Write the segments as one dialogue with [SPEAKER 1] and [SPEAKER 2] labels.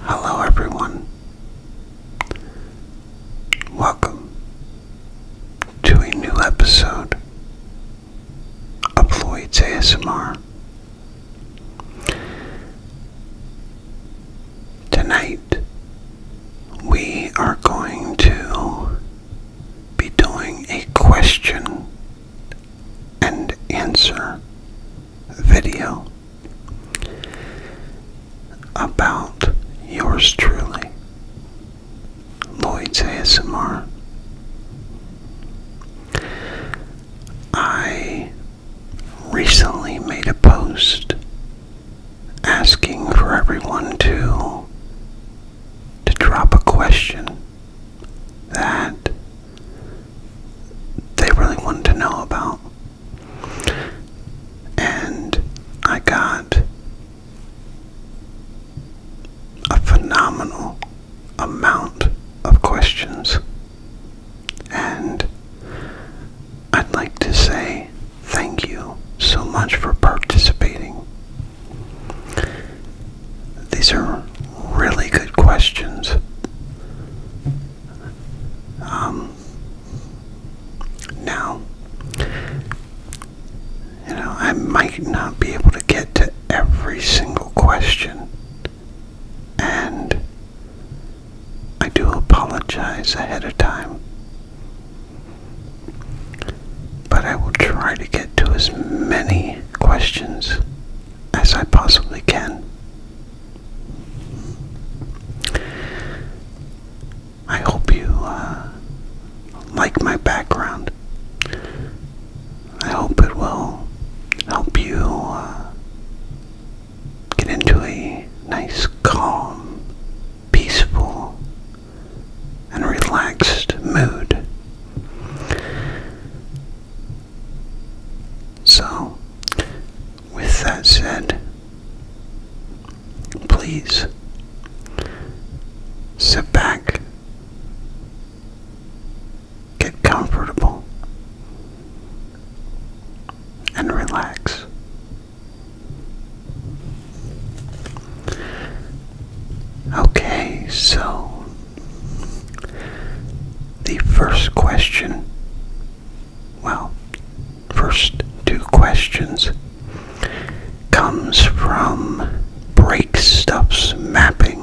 [SPEAKER 1] Hello, everyone. Welcome to a new episode of Lloyd's ASMR. Tonight, we are going to be doing a question and answer video about yours truly, Lloyd ASMR. I recently made a post asking for everyone to to drop a question that they really wanted to know about. And I got a phenomenal amount of questions. And I'd like to say thank you so much for participating. These are really good questions. Um, now, you know, I might not be able to get to every single question, and I do apologize ahead of time, but I will try to get to as many questions as I possibly can. I hope you uh, like my background. I hope it will help you uh, get into a nice, calm, peaceful, and relaxed mood. So, with that said, please sit back, get comfortable, and relax. Okay, so the first question well, first two questions comes from Break Stuff's mapping.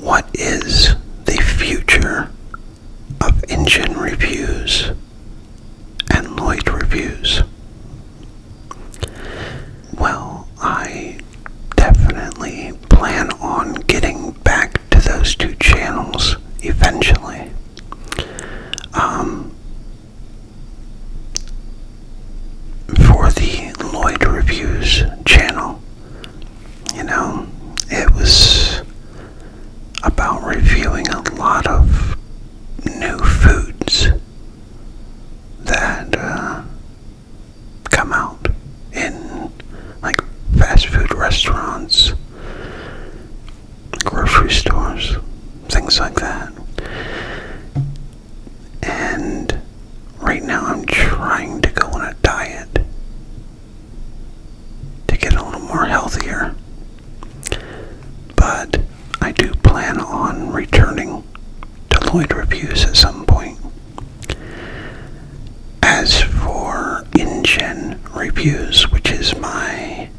[SPEAKER 1] What is the future of engine reviews and Lloyd reviews? Well, I definitely plan on getting back to those two channels eventually. Um, for the Lloyd Reviews channel, you know, it was about reviewing a lot of new foods that uh, come out in like fast food restaurants, grocery stores, things like that. And right now I'm trying to go on a diet to get a little more healthier. But I do plan on returning to Lloyd Reviews at some point. As for InGen Reviews, which is my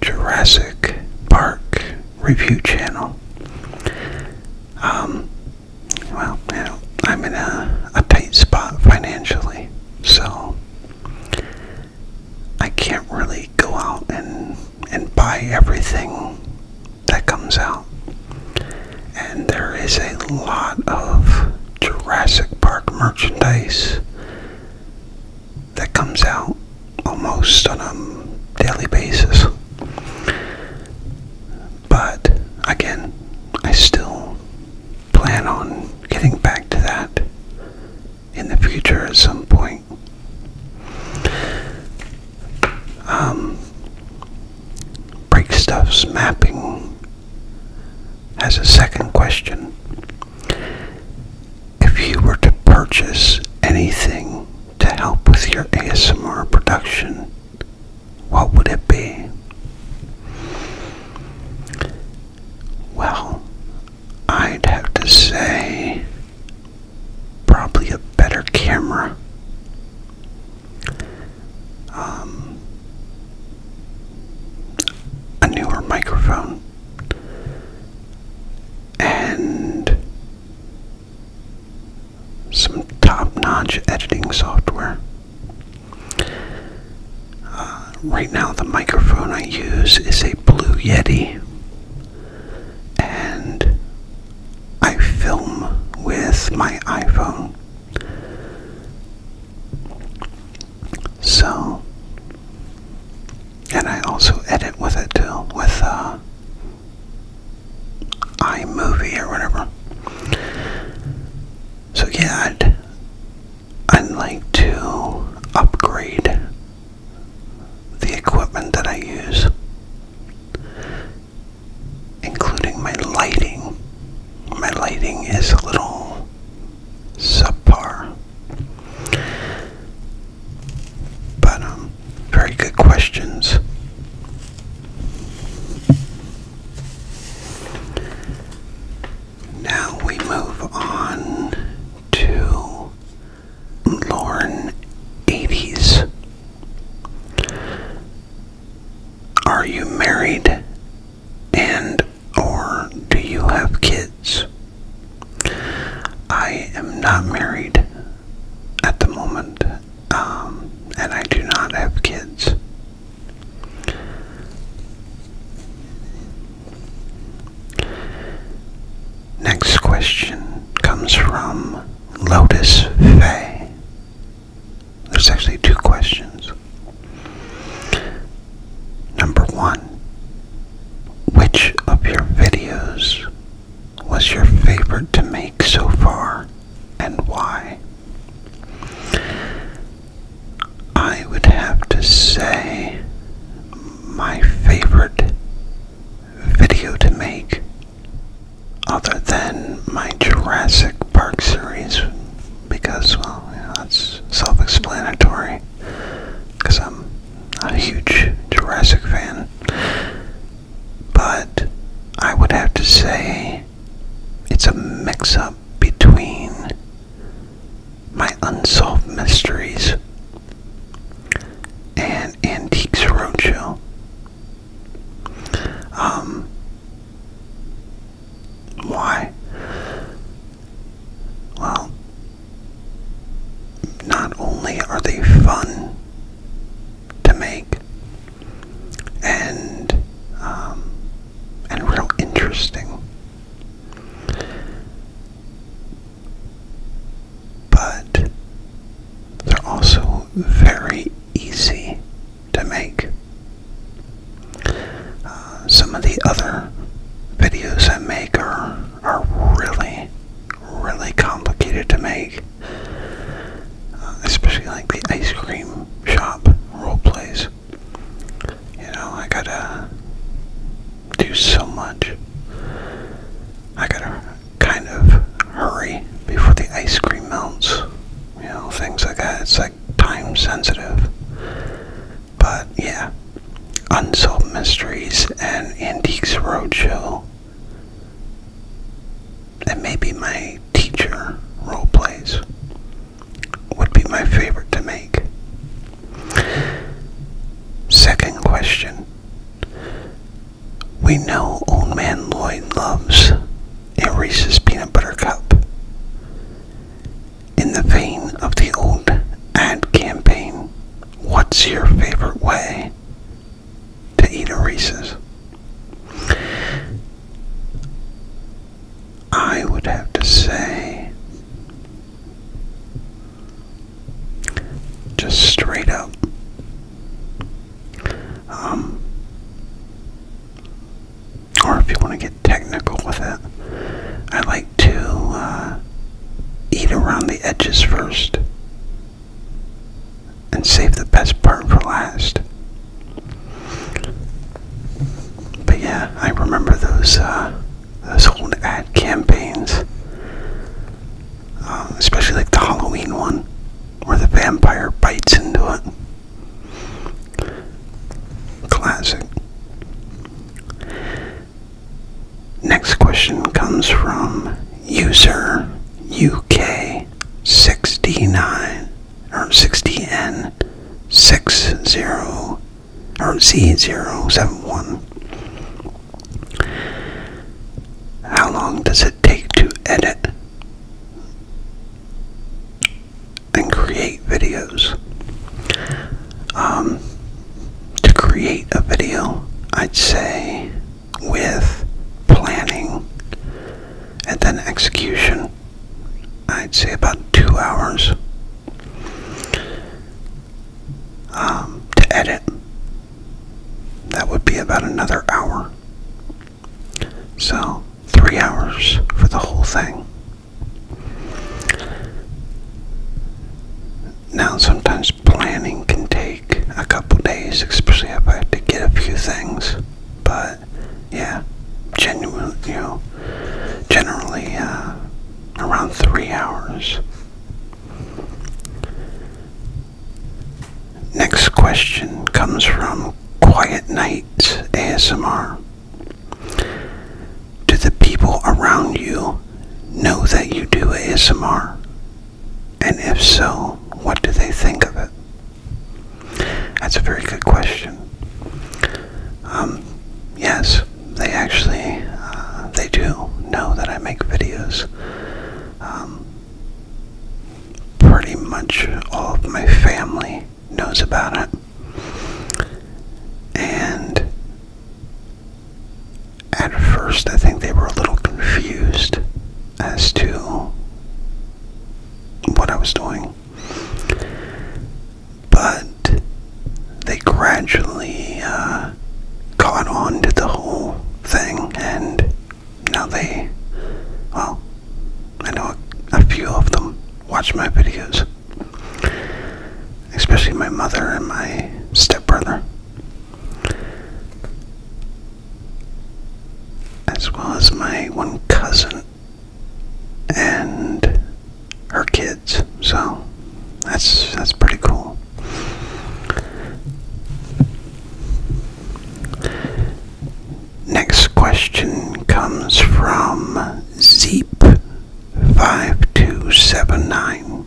[SPEAKER 1] Jurassic Park review channel, um, well, you know, I'm in a, a tight spot financially, so I can't really go out and and buy everything that comes out. And there is a lot of Jurassic Park merchandise that comes out almost on a daily basis. But again, I still plan on getting back to that in the future at some point. Um, Break stuffs mapping has a second question. If you were to purchase anything to help with your ASMR production, what would it be? Well, I'd have to say probably a better camera. Um, a newer microphone and some top notch editing software. Uh, right now, the microphone I use is a Blue Yeti, and I film with my iPhone. So, and I also edit with it too, with uh, iMovie or whatever. So yeah, I'd, I'd like to upgrade the equipment that I use including my lighting. My lighting is a little subpar. But, um, very good questions. Now we move on to Lauren 80s. Are you married and or do you have kids? I am not married at the moment um, and I do not have kids. Next question comes from Lotus Fay. There's actually two questions. Number one, which of your videos was your favorite to make so far and why? I would have to say my favorite video to make other than my Jurassic Park series because, well, you that's self explanatory because I'm a huge Jurassic fan. But I would have to say it's a mix up between my unsolved mysteries and Antiques Roadshow. Um, why? Well, not only are they fun to make and um, and real interesting, but they're also very easy to make. Uh, some of the other videos I make are, are really, really complicated to make. Uh, especially like the ice cream shop role plays. You know, I gotta do so much. I gotta kind of hurry before the ice cream melts. You know, things like that. It's like time sensitive. But yeah, Unsolved Mysteries and Antiques Roadshow. And maybe my teacher role plays would be my favorite to make. Second question. We know Old Man Lloyd loves a Reese's peanut butter cup. In the vein of the old ad campaign, what's your favorite way to eat a Reese's? I would have to say, just straight up, um, or if you want to get technical with it, I like to uh, eat around the edges first and save the best part for last. But yeah, I remember those uh, those old ad campaigns, um, especially like the Halloween one, where the vampire bites into it. Classic. Next question comes from user UK69 or 60N. 60 or Z071. How long does it take to edit and create videos. Um, to create a video, I'd say with planning and then execution, I'd say about two hours. Um, to edit, that would be about another hour. So, three hours for the whole thing. Now, sometimes planning can take a couple days, especially if I have to get a few things. But yeah, genuine, you know, generally uh, around three hours. Next question comes from Quiet Nights ASMR. Do the people around you know that you do ASMR? And if so, what do they think of it? That's a very good question. Um, yes, they actually, uh, they do know that I make videos. Um, pretty much all of my family knows about it. And at first, I think they were a little confused as to what I was doing. But they gradually uh, caught on to the whole thing, and now they, well, I know a few of them watch my videos, especially my mother and my stepbrother, as well as my one cousin and her kids. So that's that's pretty cool. Next question comes from Zeep5279.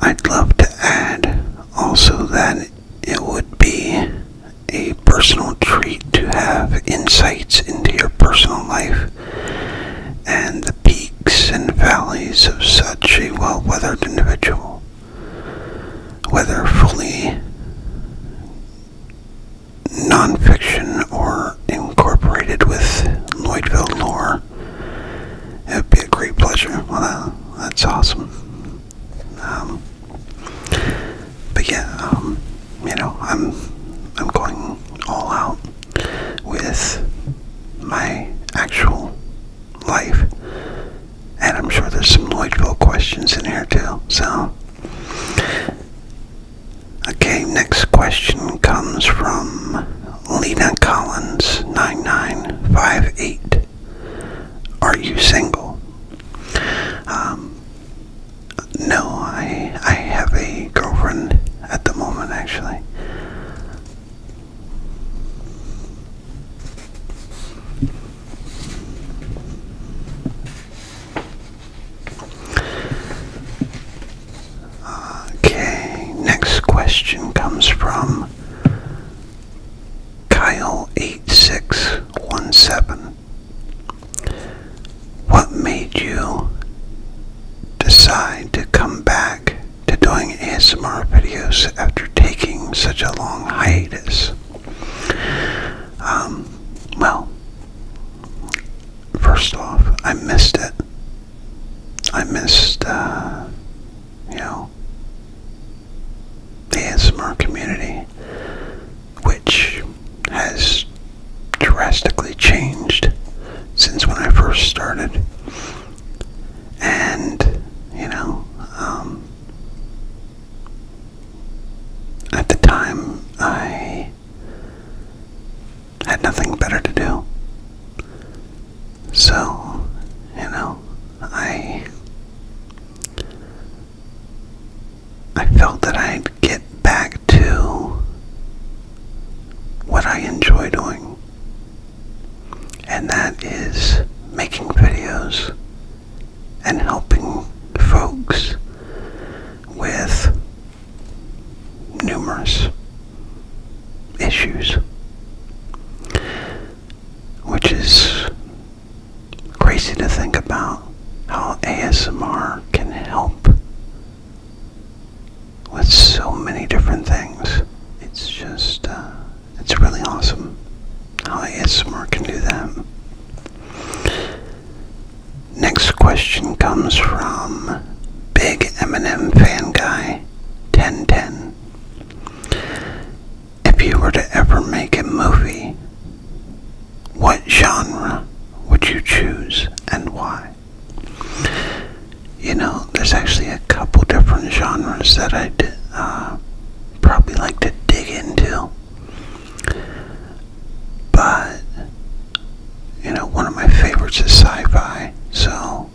[SPEAKER 1] I'd love to add also that it would be a personal treat to have insights into your personal life and the peaks and valleys of such a well weathered individual whether fully nonfiction or incorporated with Lloydville lore. It'd be a great pleasure. that's awesome. Um, but yeah, um, you know, I'm I'm going all out with my actual life and I'm sure there's some Lloydville questions in here too. So, okay, next question comes from Lena Collins, 9958. Are you single? Um, no, I, I have a girlfriend at the moment, actually. Okay, next question comes from Kyle8617. What made you decide to come back to doing ASMR videos after taking such a long hiatus? Um, well, first off, I missed it. I missed, uh, you know, the ASMR community, which has drastically changed since when I first started. And, you know, um, at the time, I had nothing better to do. So, you know, I I felt that I'd get back to what I enjoy doing. And that is making videos and helping folks with numerous issues, which is crazy to think about how ASMR can help with so many different things. It's just, uh, it's really awesome how oh, ASMR can do that. Next question comes from Big Eminem Fan Guy 1010. If you were to ever make a movie, what genre would you choose and why? You know, there's actually a couple different genres that I'd uh, probably like to dig into. But you know, one of my favorites is sci-fi, so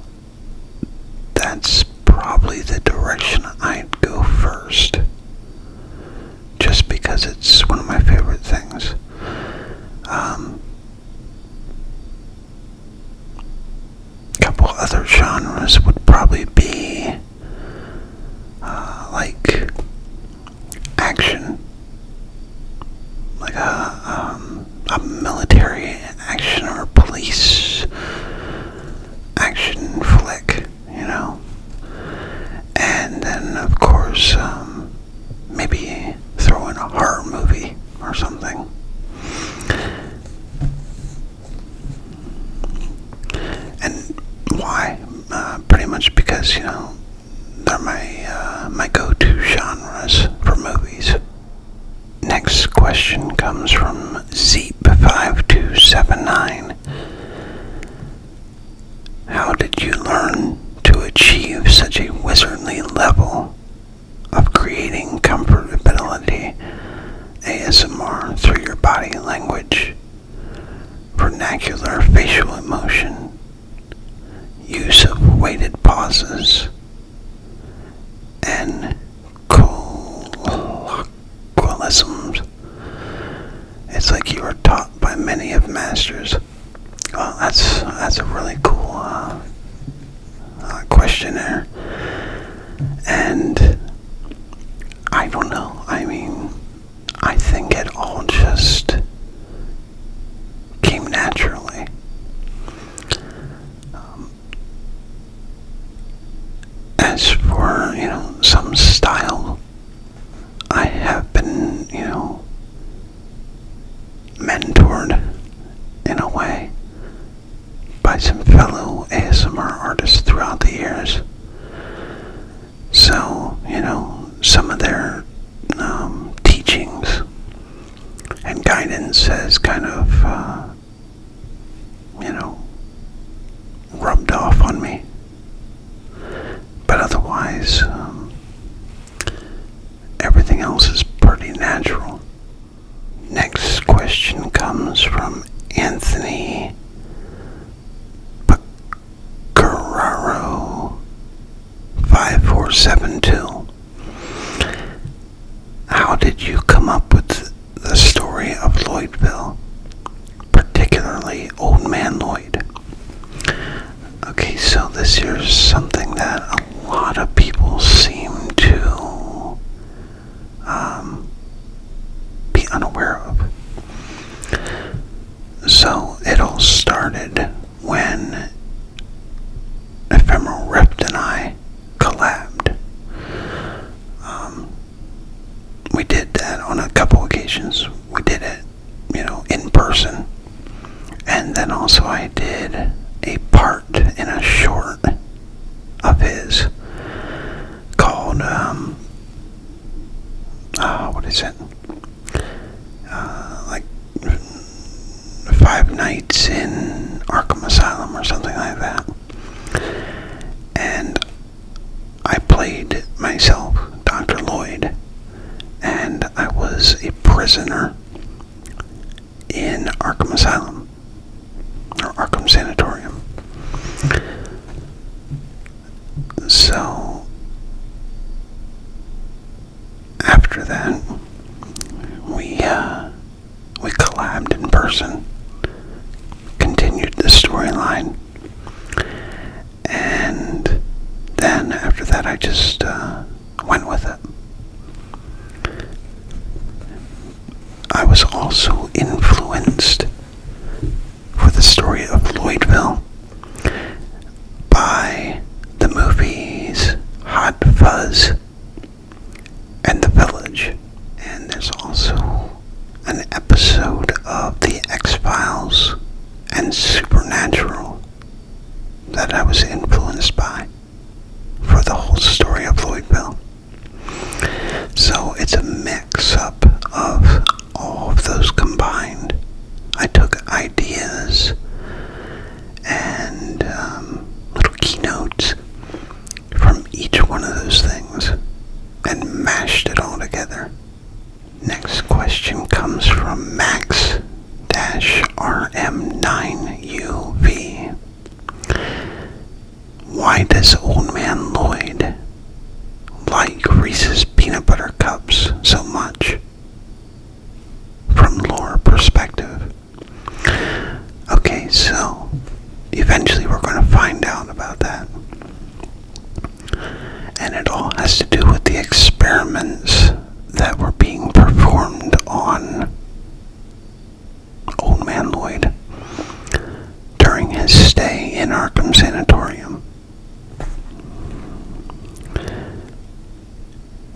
[SPEAKER 1] that's probably the direction I'd go first. Just because it's one of my favorite things. Um, couple other genres would probably be uh, like action, like a, uh, um, a military action or police action flick, you know. And then, of course, um, maybe throw in a horror movie or something. And why? Uh, pretty much because you know they're my uh, my go-to genres for movies. Next question comes from Zeep5279. How did you learn to achieve such a wizardly level of creating comfortability ASMR through your body language? vernacular facial emotion, use of weighted pauses, and colloquialisms. It's like you were taught by many of masters. Well, that's that's a really cool uh, uh, questionnaire, and I don't know. I mean, I think it all just came naturally. Um, as for, you know, some style, I have been, you know, mentored in a way by some fellow ASMR artists throughout the years. So, you know, some of their um, teachings and guidance has kind of, uh, you know, rubbed off on me. But otherwise, um, everything else is pretty natural. Next question comes from Anthony Carraro 5472. How did you come up with the story of Lloydville, particularly Old Man Lloyd? Okay, so this is something that a lot of people seem to um, be unaware of. So it all started when Ephemeral Rift and I collabed. Um, we did that on a couple occasions. We did it, you know, in person. And then also I did a part in a short of his called um, uh, what is it? Uh, like Five Nights in Arkham Asylum or something like that. And I played myself, Dr. Lloyd, and I was a prisoner in Arkham Asylum or Arkham Sanatorium. So after that, we uh, we collabed in person, continued the storyline, and then after that, I just uh, went with it. I was also influenced for the story of Lloydville by the movies Hot Fuzz and The Village. And there's also an episode of The X Files and Supernatural that I was influenced by for the whole story of Lloydville. So it's a mix up of all of those combined. I took ideas and um, little keynotes from each one of those things and mashed it all together. Next question comes from Max RM9UV. Why does Old Man Lloyd like Reese's peanut butter cups so much from lore perspective. Okay, so eventually we're going to find out about that. And it all has to do with the experiments that were being performed on Old Man Lloyd during his stay in Arkham Sanatorium.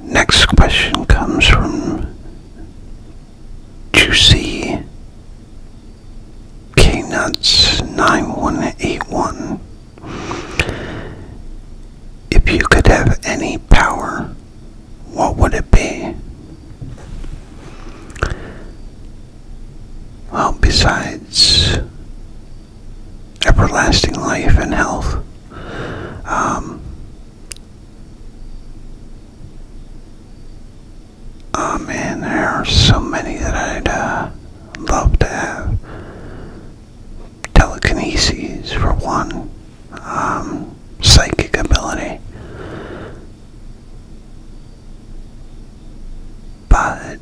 [SPEAKER 1] Next question comes from Juicy Knuts 9181. If you could have any power, what would it be? Well, besides everlasting life and health. Um, oh, man, there are so many that I'd uh, love to have. Telekinesis, for one, um, psychic ability but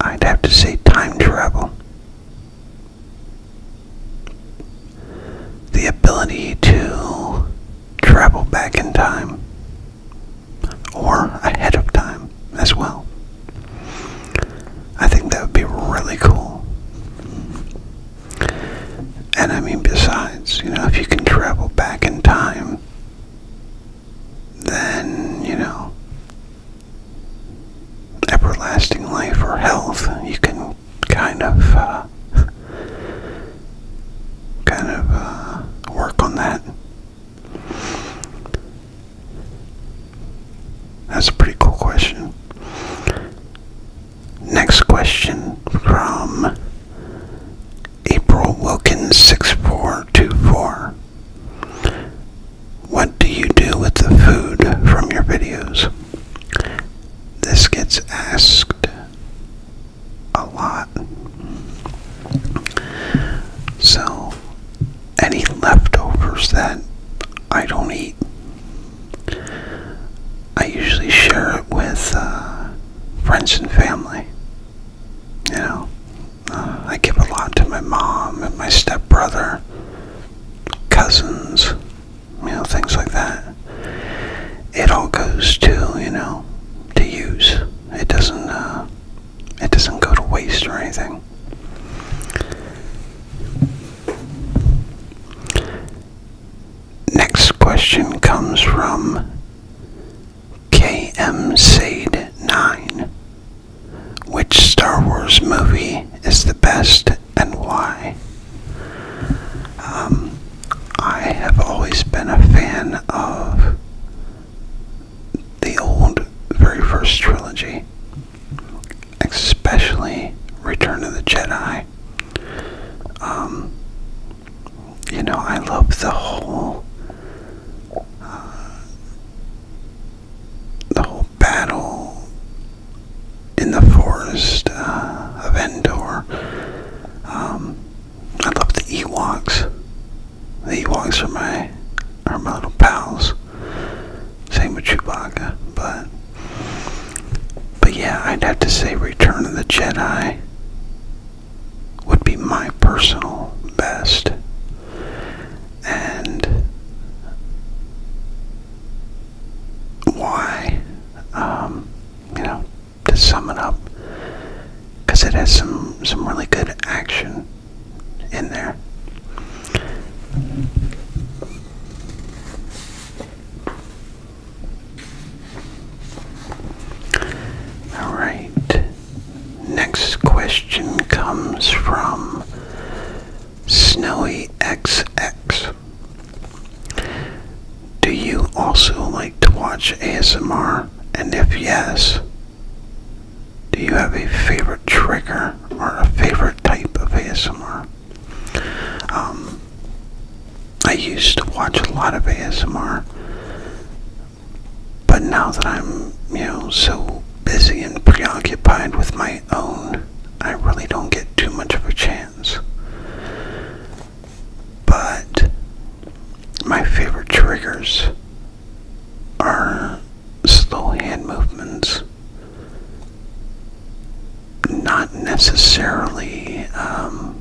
[SPEAKER 1] I'd have to say time travel. The ability to travel back in time or ahead of time as well. I think that would be really cool. And I mean, besides, you know, if you can travel back in time, then, you know, everlasting life or health, you can kind of uh, kind of uh, work on that. That's a pretty cool question. Next question from April Wilkins six four two four. What do you do with the food from your videos? This gets asked a lot. So, any leftovers that I don't eat, I usually share it with uh, friends and family. You know, uh, I give a lot to my mom and my stepbrother, cousins, you know, things like that. It all goes to, you know, to use. It doesn't, uh, it doesn't go to waste or anything. Next question comes from KM Sade 9 which Star Wars movie is the best and why? Um, I have always been a fan of the old, very first trilogy, especially Return of the Jedi. Um, you know, I love the whole uh, the whole battle in the forest uh, of Endor. Um, I love the Ewoks. The Ewoks are my are my little pals. Same with Chewbacca, but but yeah, I'd have to say Return of the Jedi would be my personal best and why, um, you know, to sum it up, because it has some some really good action in there. All right. Next question comes from Snowy X X, Do you also like to watch ASMR? And if yes, do you have a favorite trigger or a favorite type of ASMR? Um, I used to watch a lot of ASMR, but now that I'm, you know, so busy and preoccupied with my own, I really don't get too much of a chance. But my favorite triggers are slow hand movements. Not necessarily um,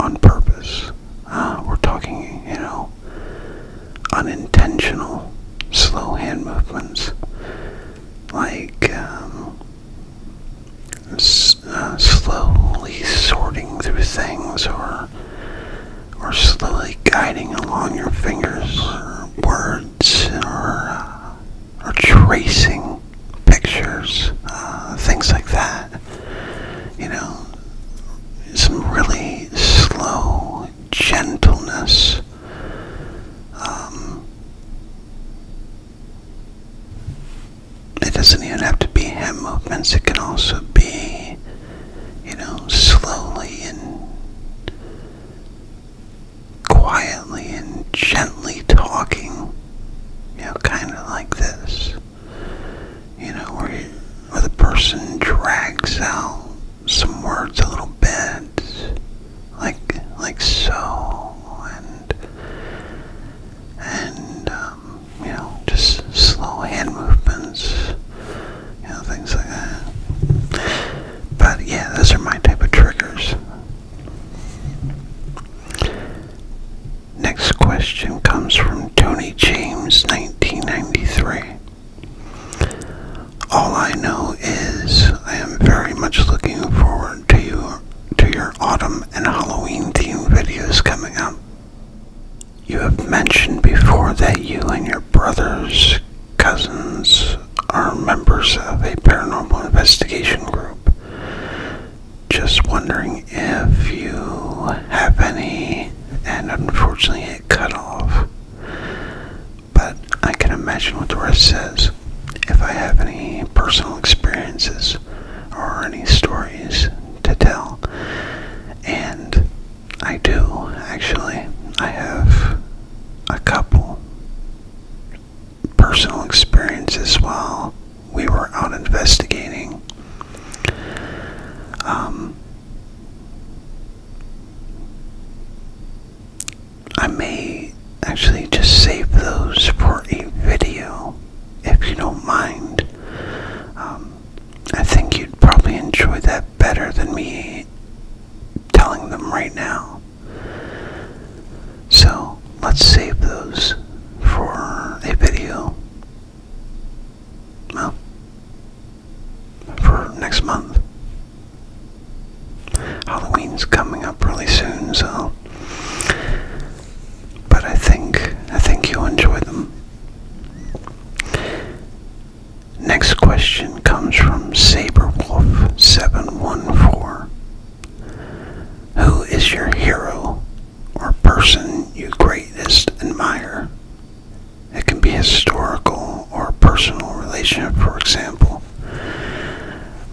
[SPEAKER 1] on purpose. Ah, we're talking, you know, unintentional slow hand movements like um, uh, slowly sorting through things or or slowly guiding along your fingers or words or, uh, or tracing pictures, uh, things like that. You know, some really slow gentleness. Um, it doesn't even have to be hand movements, it can also be, you know, slowly and quietly and gently talking, you know, kind of like this, you know, where you, where the person drags out some words a little bit, like like so, and and um, you know just slow hand movements, you know things like that. But yeah, those are my type of triggers. Next question comes from Tony James, 1993. All I know is I am very much looking forward to you to your autumn and Halloween themed videos coming up. You have mentioned before that you and your brothers, cousins, are members of a paranormal investigation group. Just wondering if you have any, and unfortunately cut off. But I can imagine what the rest says. If I have any personal experiences or any stories to tell, and I do actually, I have a couple personal experiences while we were out investigating. Um, I may actually just save those for a video if you don't mind. Um, I think you'd probably enjoy that better than me telling them right now. So let's save those for a video. Well, for next month. Halloween's coming up really soon, so but I think I think you'll enjoy them. Next question comes from Saberwolf714. Who is your hero or person you greatest admire it can be historical or personal relationship, for example.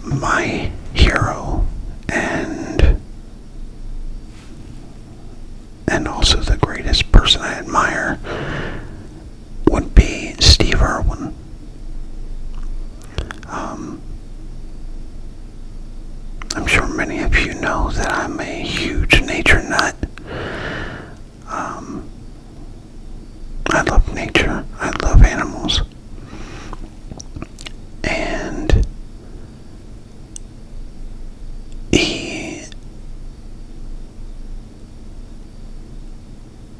[SPEAKER 1] My hero and and also the greatest person I admire would be Steve Irwin. Um, I'm sure many of you know that I'm a huge nature nut. Um, I love nature. I love animals. And he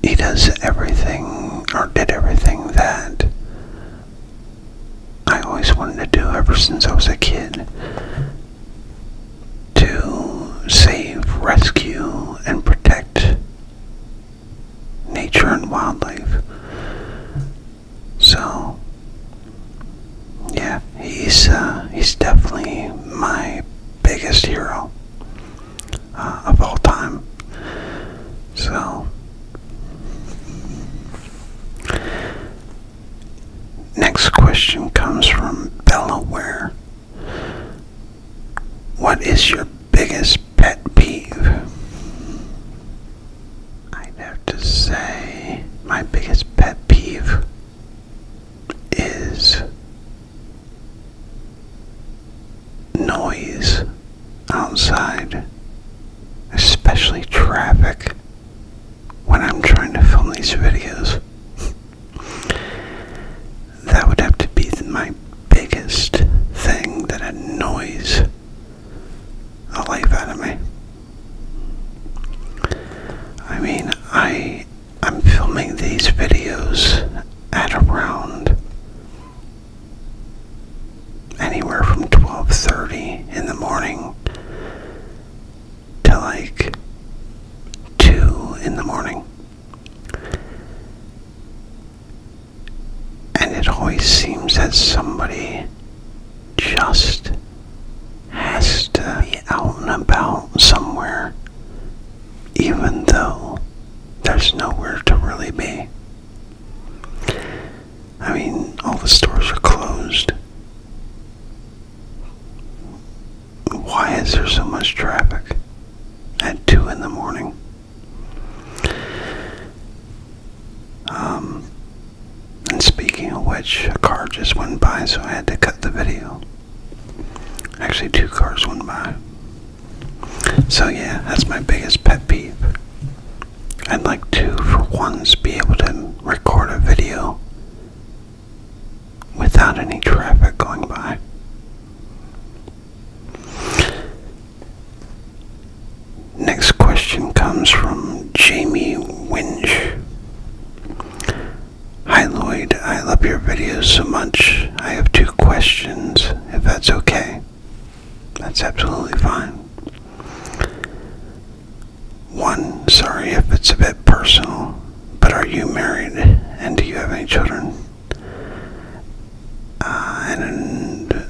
[SPEAKER 1] he does everything or did everything that I always wanted to do ever since I was a kid to save, rescue, and protect nature and wildlife. So, yeah, he's uh, he's definitely my biggest hero uh, of all time. So. Next question comes from Delaware. What is your biggest pet peeve? i have to say my biggest pet peeve is noise outside, especially traffic, when I'm trying to film these videos. That would have to be my biggest thing that annoys a life out of me. I mean, I I'm filming these videos at around anywhere from 12:30 in the morning to like 2 in the morning. And it always seems that somebody just has to be out and about somewhere, even though there's nowhere to really be. I mean, all the stores are closed why is there so much traffic at 2 in the morning? Um, and speaking of which, a car just went by, so I had to cut the video. Actually, two cars went by. So, yeah, that's my biggest pet peeve. I'd like to, for once, be able to record a video without any traffic going by. Next question comes from Jamie Winch. Hi Lloyd, I love your videos so much. I have two questions, if that's okay. That's absolutely fine. One, sorry if it's a bit personal. But are you married and do you have any children? Uh, and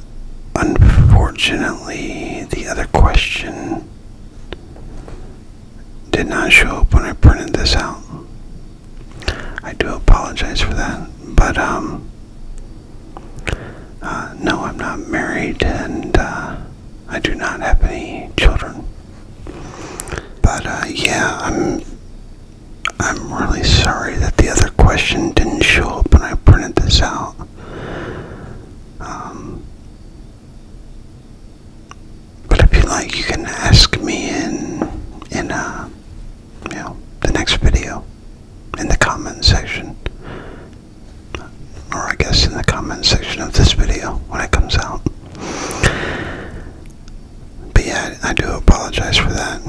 [SPEAKER 1] unfortunately, the other question did not show up when I printed this out. I do apologize for that, but um, uh, no, I'm not married and uh, I do not have any children. But uh, yeah, I'm I'm really sorry that the other question didn't show up when I printed this out. Um, but if you like, you can ask me in in uh, you know the next video in the comment section, or I guess in the comment section of this video when it comes out. But yeah, I do apologize for that.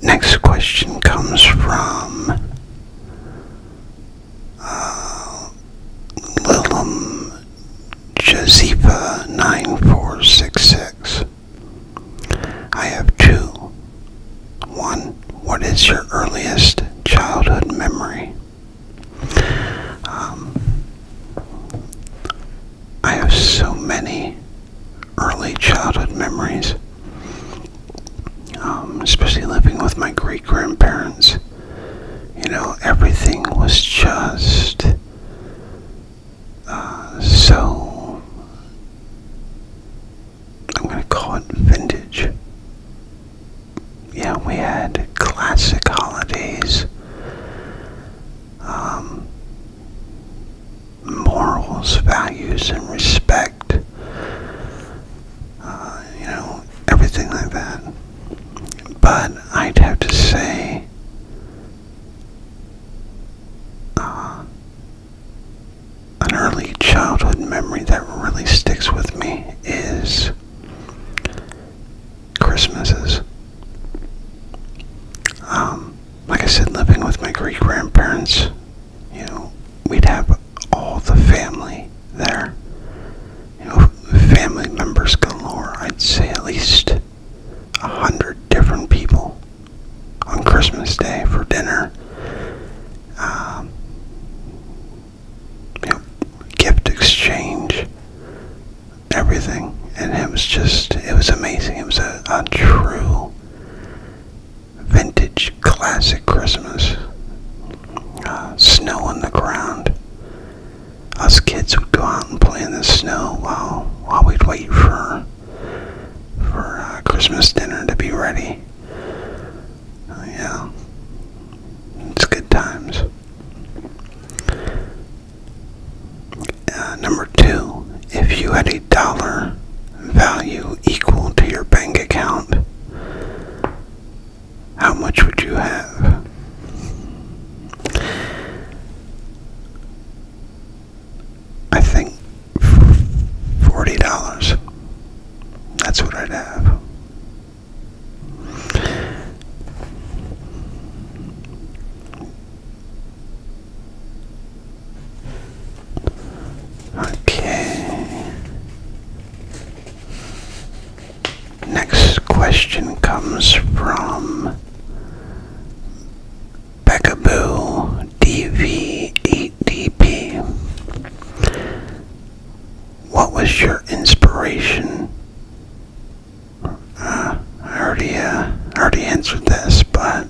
[SPEAKER 1] Next question comes from uh, Lilum 9466. I have two. One, what is your earliest childhood memory? Um, I have so many early childhood memories, um, especially living with my great grandparents. You know, everything was just uh, so. I'm going to call it vintage yeah, we had classic holidays, um, morals, values, and respect. Uh, you know, everything like that. But I'd have to say, uh, an early childhood memory that really sticks with me is Christmases. Um, like I said, living with my great grandparents, you know, we'd have all the family there. You know, family members galore. I'd say at least a hundred different people on Christmas Day for dinner. Um, you know, gift exchange, everything. And it was just, it was amazing. It was a, true vintage classic Christmas. Uh, snow on the ground. Us kids would go out and play in the snow while while we'd wait for for uh, Christmas dinner to be ready. Uh, yeah, it's good times. Uh, number two, if you had a dollar value equal to your bank account, how much would you have? I think $40. That's what I'd have. Okay. Next question comes from Beckaboo DV8DP what was your inspiration? Uh, I already uh, already answered this, but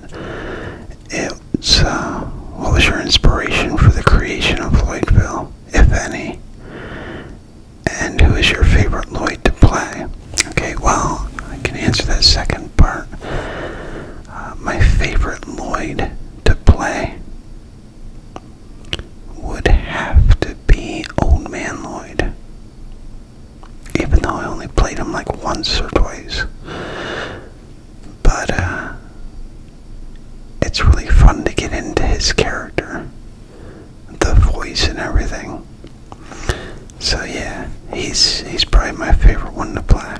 [SPEAKER 1] it's uh, what was your inspiration for the creation of Lloydville, if any? And who is your favorite Lloyd to play? Okay, well, I can answer that second part. my favorite Lloyd to play would have to be Old Man Lloyd. Even though I only played him like once or twice. But, uh, it's really fun to get into his character, the voice and everything. So yeah, he's he's probably my favorite one to play.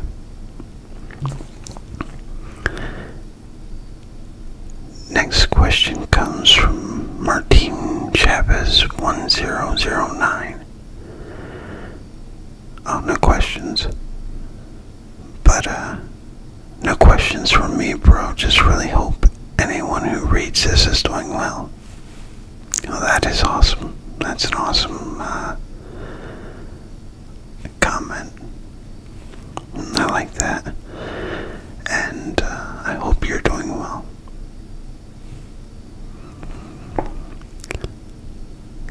[SPEAKER 1] Next question comes from Martine Chavez 1009. Oh, no questions. But, uh, no questions from me, bro. Just really hope anyone who reads this is doing well. Oh, that is awesome. That's an awesome, uh, comment. I like that. And uh, I hope you're doing well.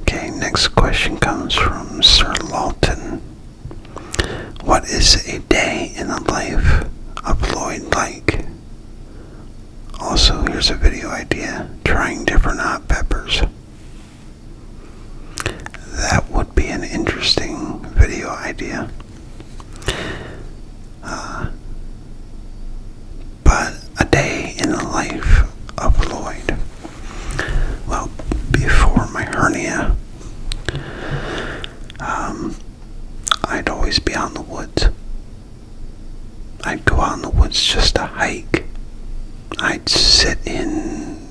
[SPEAKER 1] Okay, next question comes from Sir Lawton. What is a day in the life of Lloyd like? Also, here's a video idea trying different hot peppers. That would be an interesting video idea. Uh, but a day in the life of Lloyd. Well, before my hernia, um, I'd always be out in the woods. I'd go out in the woods just to hike. I'd sit in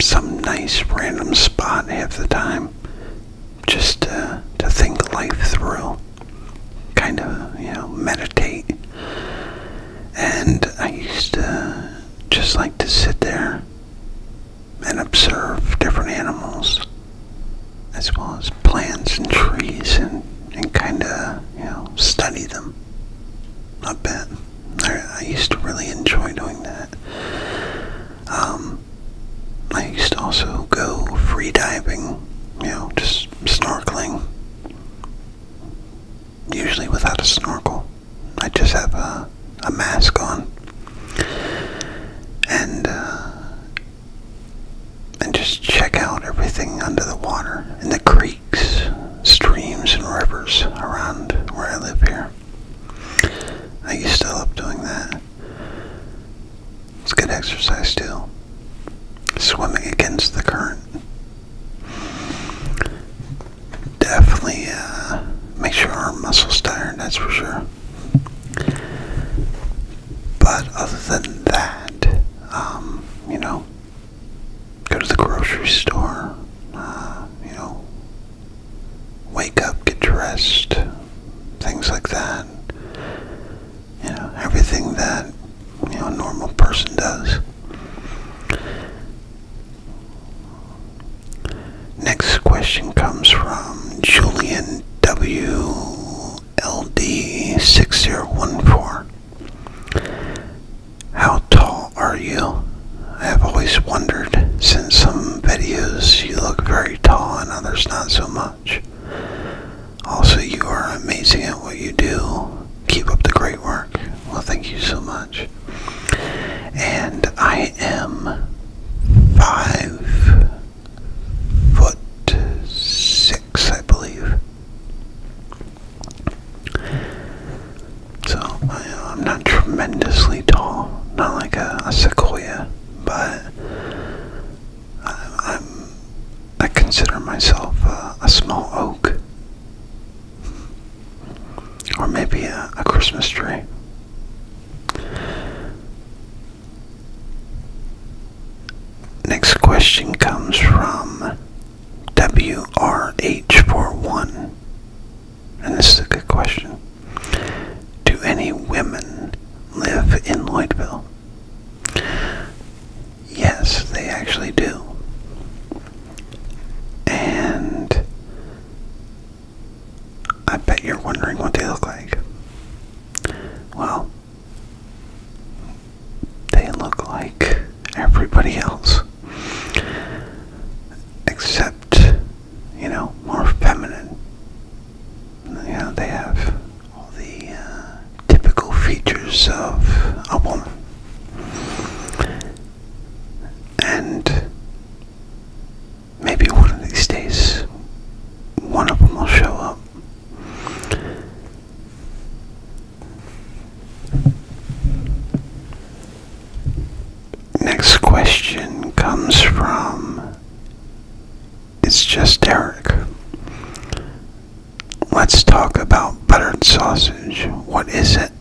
[SPEAKER 1] some nice random spot half the time just uh, to, think life through, kind of, you know, meditate. And I used to just like to sit there and observe different animals as well as plants and trees and, and kind of, you know, study them a bit. I used to really enjoy doing that. Um, I used to also go free diving, you know, just snorkeling. Usually without a snorkel. I just have a, a mask on. And, uh, and just check out everything under the water in the creeks, streams, and rivers around where I live here. I used to love doing that. It's good exercise too. Swimming against the current. Definitely uh, make sure our muscles tired, that's for sure. But other than that, um, you know, go to the grocery store, uh, you know, wake up, get dressed, things like that. You know, everything that, you know, normal person does. Next question comes from Julian WLD6014. How tall are you? I have always wondered since some videos you look very tall and others not so much. Also, you are amazing at what you do. Keep up the great work. Well, thank you so much. And I am five foot six, I believe. So I, am not tremendously tall, not like a sequoia but I, am I consider myself a, small oak, or maybe a, a Christmas tree. Next question comes from WRH41 and this is a good question. Do any women live in Lloydville? Yes, they actually do. And I bet you're wondering what they look like. Well, they look like everybody else, except you know, more feminine. You know, they have all the uh, typical features of a woman. And maybe one of these days, one of them will show up. Next question comes from it's just Derek. Let's talk about buttered sausage. What is it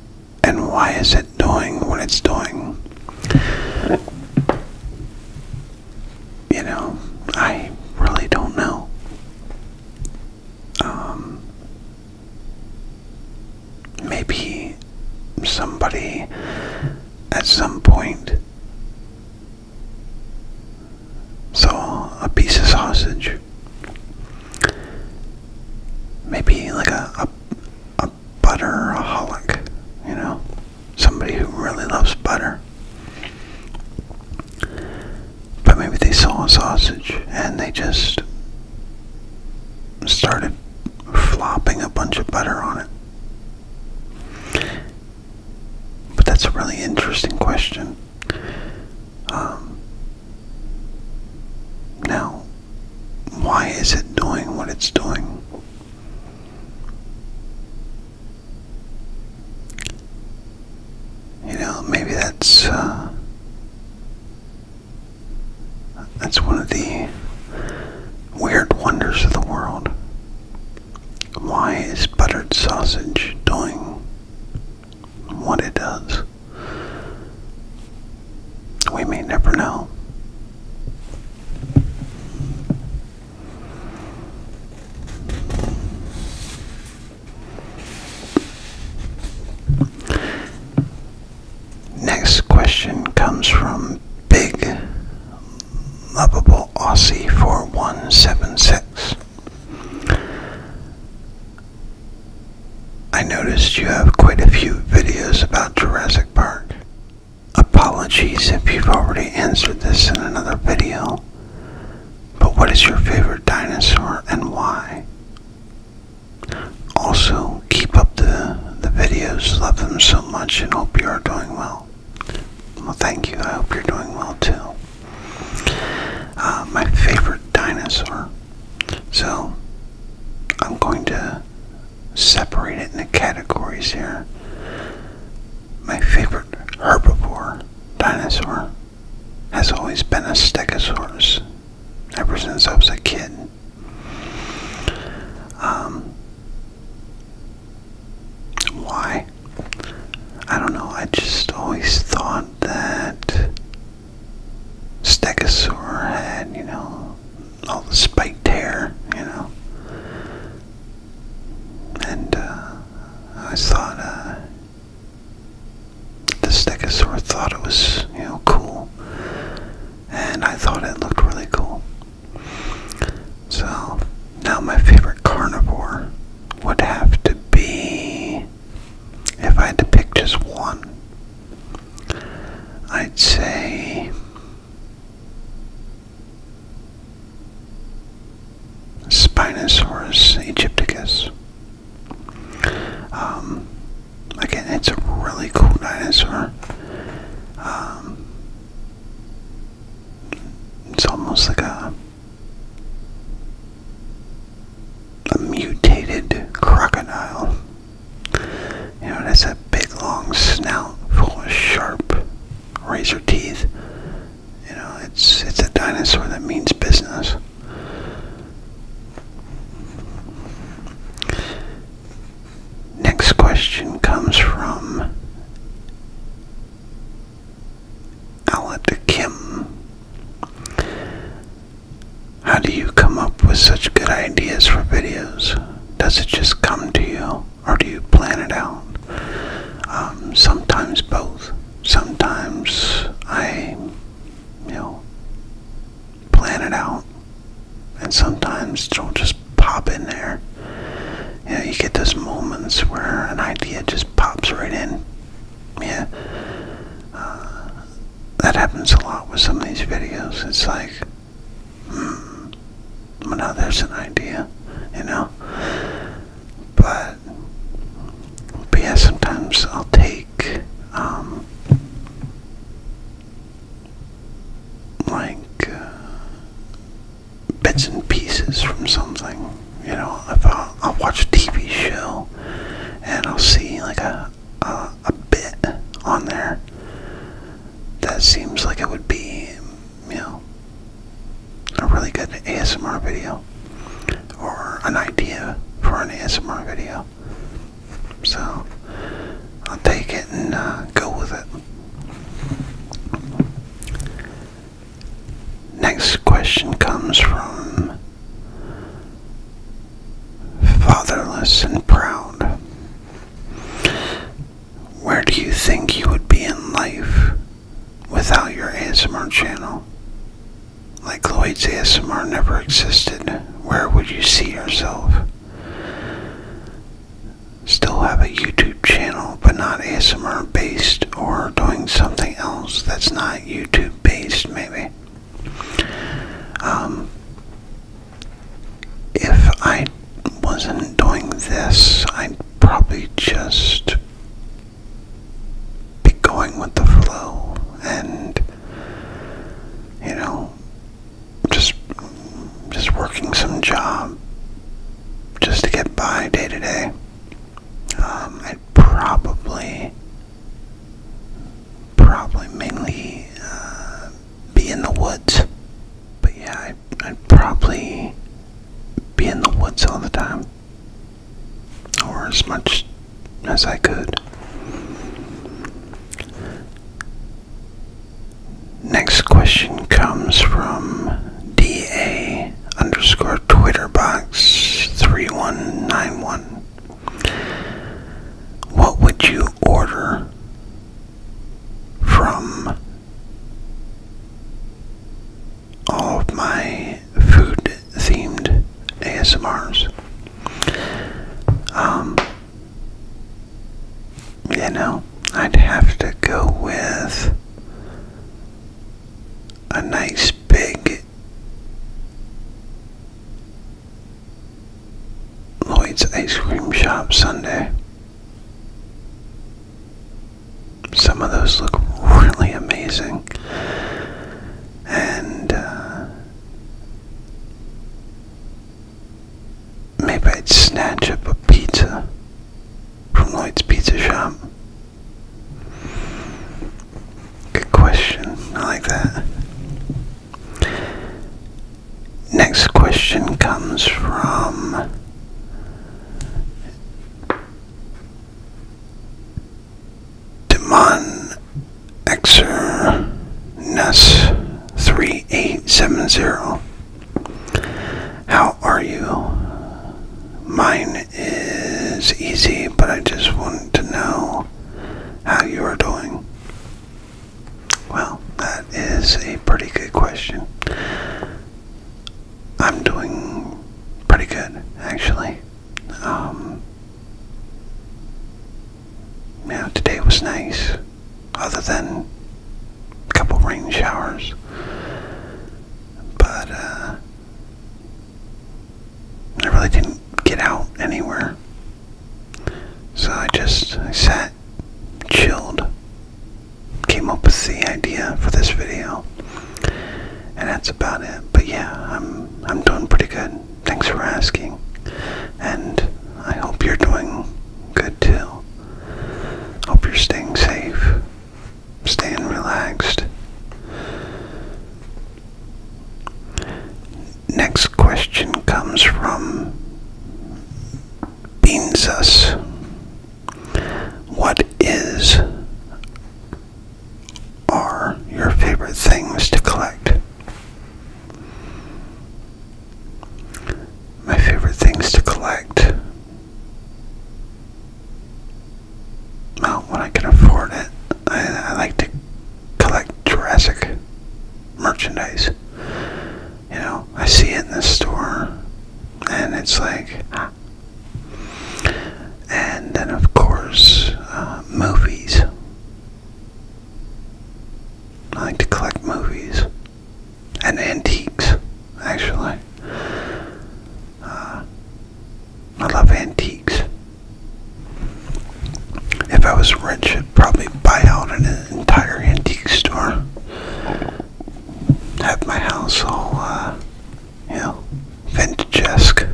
[SPEAKER 1] and why is it doing what it's doing? You know, I really don't know. Um, maybe somebody at some point so, a piece of sausage. Maybe like a, a, a butter holic, you know? Somebody who really loves butter. But maybe they saw a sausage and they just started flopping a bunch of butter on it. But that's a really interesting question. Um, now, why is it doing what it's doing? You know, maybe that's uh, that's one of the weird wonders of the world. Why is buttered sausage doing what it does? We may never know. Next question comes from Big Lovable. Channel Aussie 4176. I noticed you have quite a few videos about Jurassic Park. Apologies if you've already answered this in another video, but what is your favorite dinosaur and why? Also, keep up the, the videos, love them so much, and hope you are doing well. Well, thank you. I hope you're doing well too. Uh, my favorite dinosaur. So, I'm going to separate it into categories here. My favorite herbivore dinosaur has always been a stegosaurus ever since I was a kid. Um, why? I don't know. I just always thought that Stegosaur had, you know, all the spiked hair, you know. And uh, I thought uh, the Stegosaur thought it was, you know, cool. And I thought it looked really cool. So now my favorite carnivore would have to be if I had to pick just one. I'd say Spinosaurus aegypticus. Um, again, it's a really cool dinosaur. Um, it's almost like a a mutated crocodile. You know, it has a big long snout full of sharp razor teeth. You know, it's it's a dinosaur that means business. Next question comes from Alec Kim. How do you come up with such good ideas for videos? Does it just come to you, or do you plan it out? Um, sometimes both. Sometimes I, you know, plan it out, and sometimes don't just pop in there. You know, you get those moments where an idea just pops right in. Yeah. Uh, that happens a lot with some of these videos. It's like, hmm, well, now there's an idea, you know? But, but yeah, sometimes I'll take, um, like, uh, bits and pieces from something. You know, if I'll, I'll watch a TV show and I'll see like a, a bit on there that seems like it would be, you know, a really good ASMR video or an idea for an ASMR video. So I'll take it and uh, go with it. Next question comes from Fatherless and Proud. Where do you think you would be in life without your ASMR channel? Like Lloyd's ASMR never existed, where would you see yourself? still have a YouTube channel, but not ASMR based or doing something else that's not YouTube based, maybe. Um, if I wasn't doing this, I'd probably just be going with the flow and, you know, just just working some job just to get by day to day. Um, I'd probably, probably mainly uh, be in the woods. But yeah, I'd probably be in the woods all the time, or as much as I could. Next question comes from DA underscore Twitter box 3191. What would you order from all of my food themed ASMRs? Um, you know, I'd have to go with a nice big Lloyd's Ice Cream Shop Sunday. Some of those look really amazing. And uh, maybe I'd snatch up a pizza from Lloyd's Pizza Shop? Good question. I like that. Next question comes from Demon Xer Ness 3870. How are you? Mine is easy, but I just wanted to know how you are doing. Well, that is a pretty good question. I'm doing pretty good, actually. Um, yeah, today was nice, other than a couple rain showers but uh, I really didn't get out anywhere. So I just sat, chilled, came up with the idea for this video, and that's about it. But yeah, I'm I'm doing pretty good. Thanks for asking, and I hope you're doing good too. Hope you're staying safe staying relaxed. Next question comes from Beansus. What is are your favorite things to collect? My favorite things to collect well, when I can afford it, I, like to collect Jurassic merchandise. You know, I see it in the store, and it's like, and then of course, uh, movies. I like to collect movies and antiques, actually. Uh, I love antiques. If I was rich, I'd probably buy out an entire antique store. Have my house all, uh, you know, vintage-esque.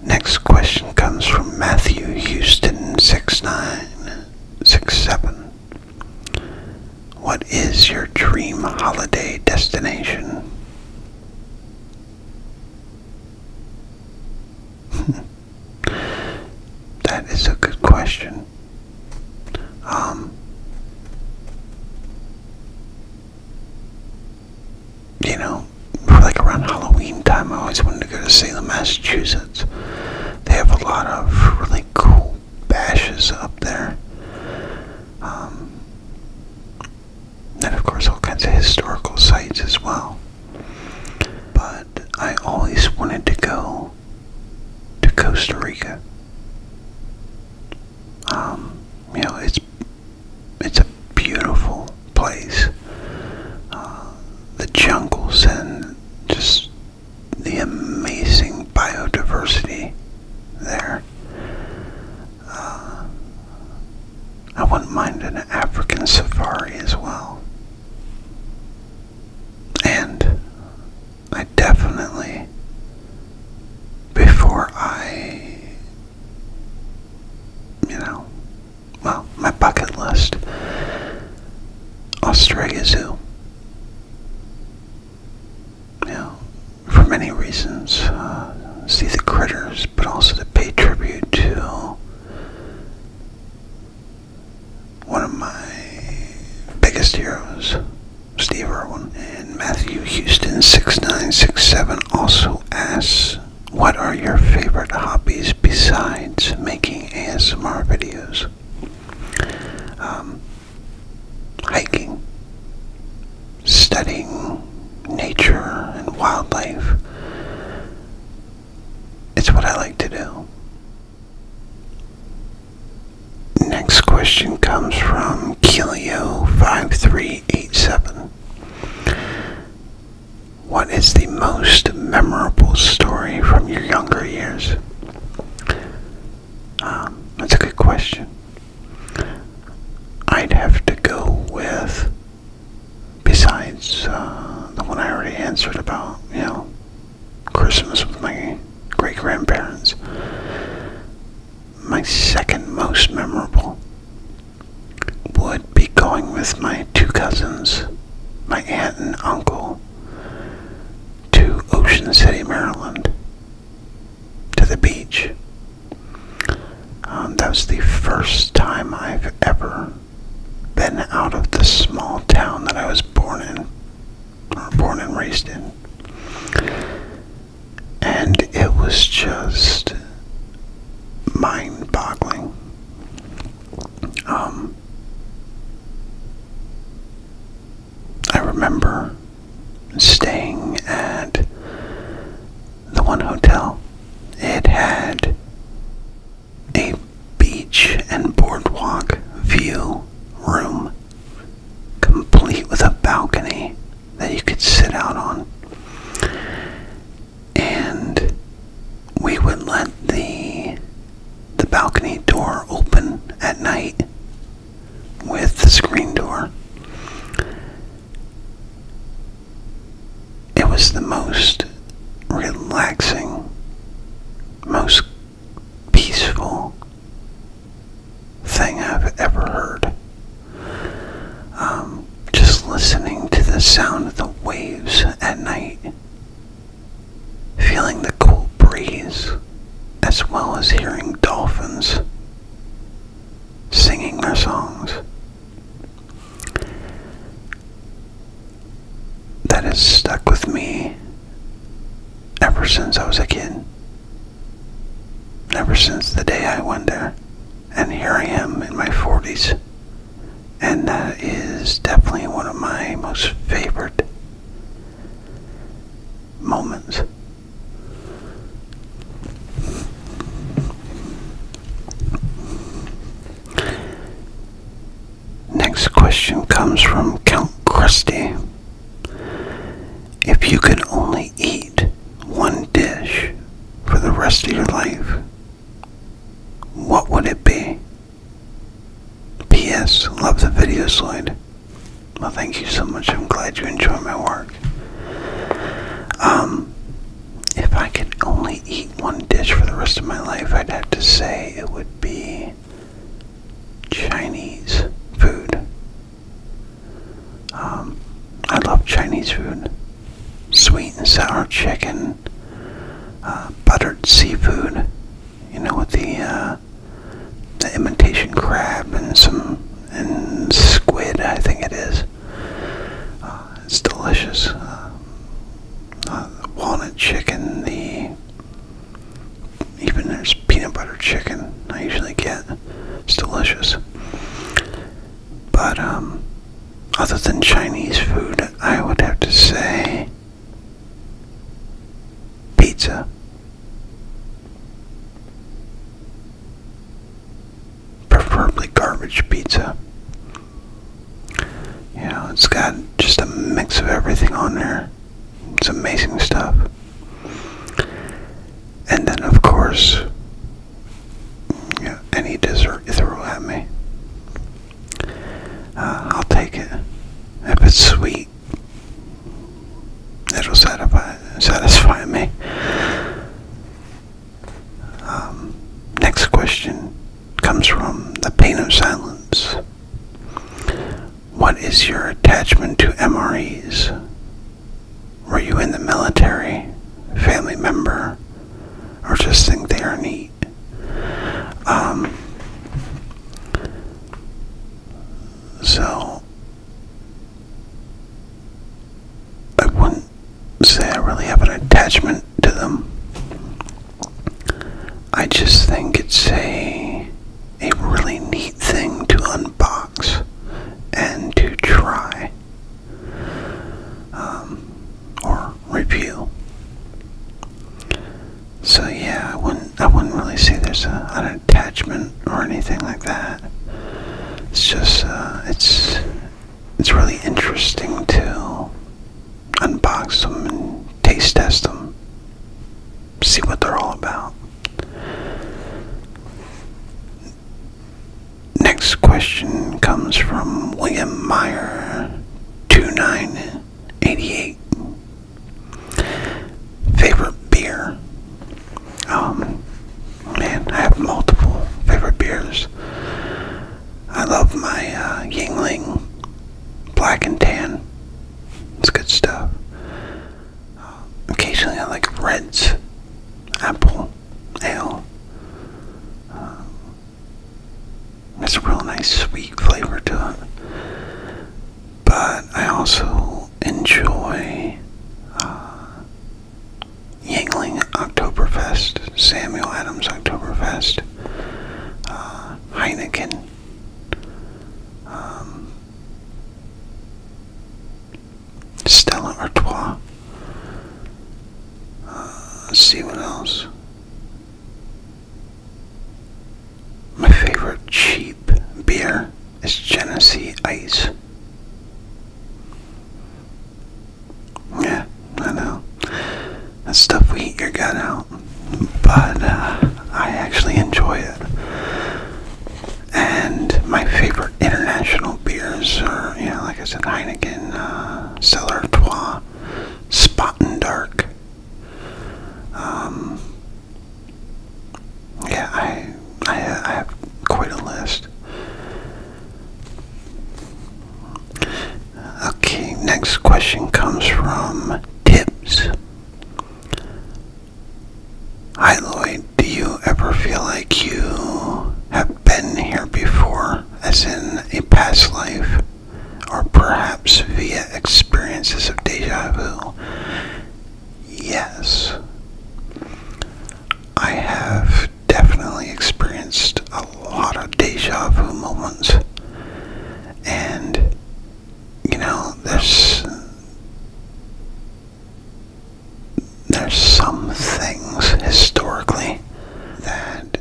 [SPEAKER 1] Next question comes from Matthew Houston 6967. What is your dream holiday destination? that is a good question. Um, you know, like around Halloween time, I always wanted to go to Salem, Massachusetts. They have a lot of really cool bashes up there. Um, and of course, all kinds of historical sites as well. But I always wanted to go to Costa Rica. Um, you know, it's it's a beautiful place. Uh, the jungles and just the amazing biodiversity there. Uh, I wouldn't mind an African safari as well. And I definitely, before I, you know, well, my bucket list Australia Zoo. You for many reasons, uh, see the critters, but also to pay tribute to one of my biggest heroes, Steve Irwin, and Matthew Houston 6967 also asks what are your favorite hobbies besides making ASMR videos? Um, hiking, studying nature and wildlife. It's what I like to do. Next question comes from Kilio5387. What is the most memorable story from your younger years? Um, that's a good question. I'd have to go with, besides uh, the one I already answered about, you know, Christmas with my great grandparents, my second most memorable would would be going with my two cousins, my aunt and uncle, to Ocean City, Maryland, to the beach. Um, that was the first time I've ever been out of the small town that I was born in, born and raised in. And it was just mind boggling. Um, I remember staying at the one hotel. It had a beach and boardwalk view room, complete with a balcony that you could sit out on and we would let the the balcony door open at night with the screen door. It was the most relaxing, most peaceful thing I've ever heard. Um, just listening to the sound of the waves at night feeling the cool breeze, as well as hearing dolphins singing their songs. That has stuck with me ever since I was a kid. Ever since the day I went there. And here I am in my 40s, and that is definitely one of my most favorite moments. Next question comes from Count Krusty. If you could only eat one dish for the rest of your life, what would it be? P.S. Love the video slide. Well, thank you so much. I'm glad you enjoy my work. Um, if I could only eat one dish for the rest of my life, I'd have to say it would be Chinese food. Um, I love Chinese food. Sweet and sour chicken uh, buttered seafood, you know, with uh, the imitation crab and some and squid, I think it is. Uh, it's delicious. Uh, walnut chicken, the even there's peanut butter chicken. I usually get. It's delicious. But um, other than Chinese food, I would have to say Pizza. Preferably garbage pizza. You it's got just a mix of everything on there. It's amazing stuff. And then, of course, you any dessert you throw at me. Uh, I'll take it. If it's sweet, it'll satisfy, satisfy me. Um, next question comes from the pain of silence. What is your attachment to MREs? Were you in the military, family member, or just think they are neat? Um, so, I wouldn't say I really have an attachment to them. I just think it's a, a really neat thing to unbox and to try um, or review. So yeah, I wouldn't I wouldn't really say there's an attachment or anything like that. It's just uh, it's it's really interesting to unbox them and taste test them, see what they're all about. Next question comes from William Meyer two nine 88. Favorite beer? Um, man, I have multiple favorite beers. I love my uh, Yingling Black and Tan. It's good stuff. Um, occasionally, I like Reds, Apple Ale. Um, it's a real nice sweet flavor to it. But I also enjoy uh, Yangling Octoberfest, Samuel Adams Octoberfest, uh, Heineken. Um, Stella Artois. Uh, see what else. My favorite cheap beer is Genesee Ice. Yeah, I know. That stuff will eat your gut out. But uh, I actually enjoy it. And my favorite international beers are, you know, like I said, Heineken, uh, Cellar Trois, Spot and Dark, um, yeah, I, I, I have quite a list. Okay, next question comes from Tips. Hi Lloyd, do you ever feel like you have been here before, as in a past life? or perhaps via experiences of deja vu? Yes. I have definitely experienced a lot of deja vu moments. And, you know, there's. There's some things historically that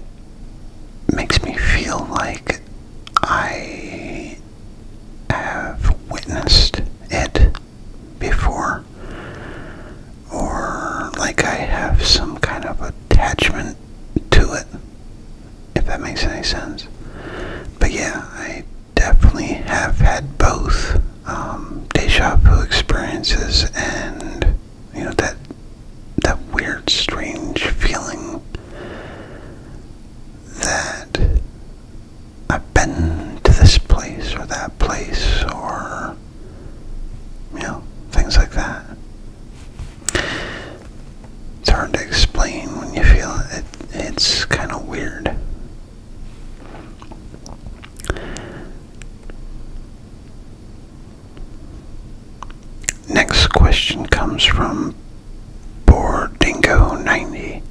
[SPEAKER 1] makes me feel like I have witnessed it before, or like I have some kind of attachment to it, if that makes any sense. But yeah, I definitely have had both um, deja vu experiences and, you know, that that weird, strange feeling that I've been to this place or that place or, you know, things like that. It's hard to explain when you feel it. it it's kind of weird. Next question comes from Bordingo90.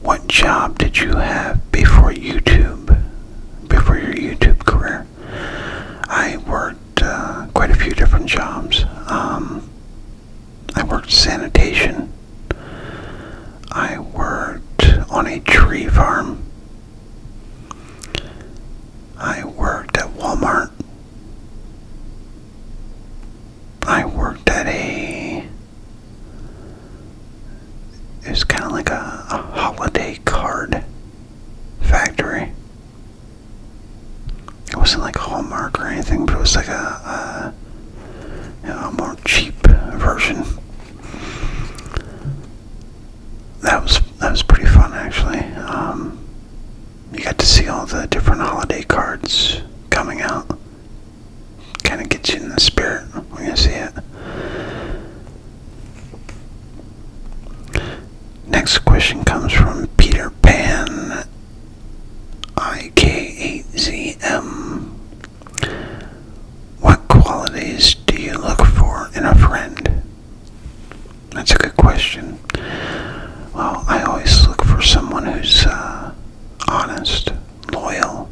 [SPEAKER 1] What job did you have before YouTube? Before your YouTube career? I worked uh, quite a few different jobs. Um, I worked sanitation. I worked on a tree farm. I worked at Walmart. I worked at a. It was kind of like a, holiday card factory. It wasn't like Hallmark or anything, but it was like a, you know, more cheap version. That was that was pretty fun actually. Um, you got to see all the different holiday cards coming out. Kind of gets you in the spirit when you see it. Next question comes from Peter Pan ik What qualities do you look for in a friend? That's a good question. Well, I always look for someone who's uh, honest, loyal,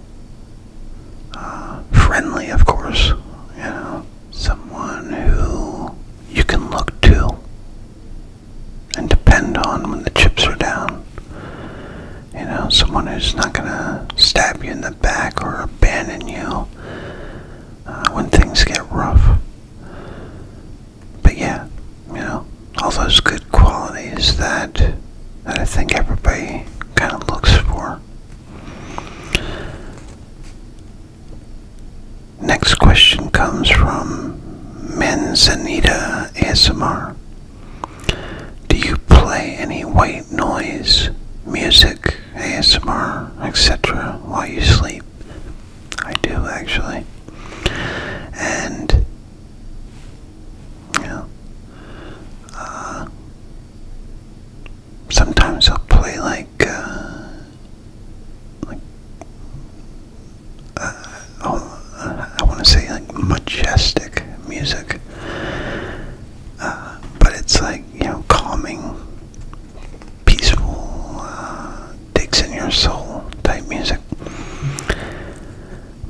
[SPEAKER 1] uh, friendly, of course. You know, someone who you can look to and depend on when the chips are down. You know, someone who's not gonna stab you in the back or abandon you uh, when things get rough but yeah, you know, all those good qualities that, that I think everybody kind of looks for. Next question comes from Menzanita ASMR. Do you play any white noise, music, ASMR, etc. while you sleep? I do actually. And you uh, sometimes I'll play like uh, like uh, oh, I want to say like majestic music, but it's like you know calming, peaceful digs in your soul type music.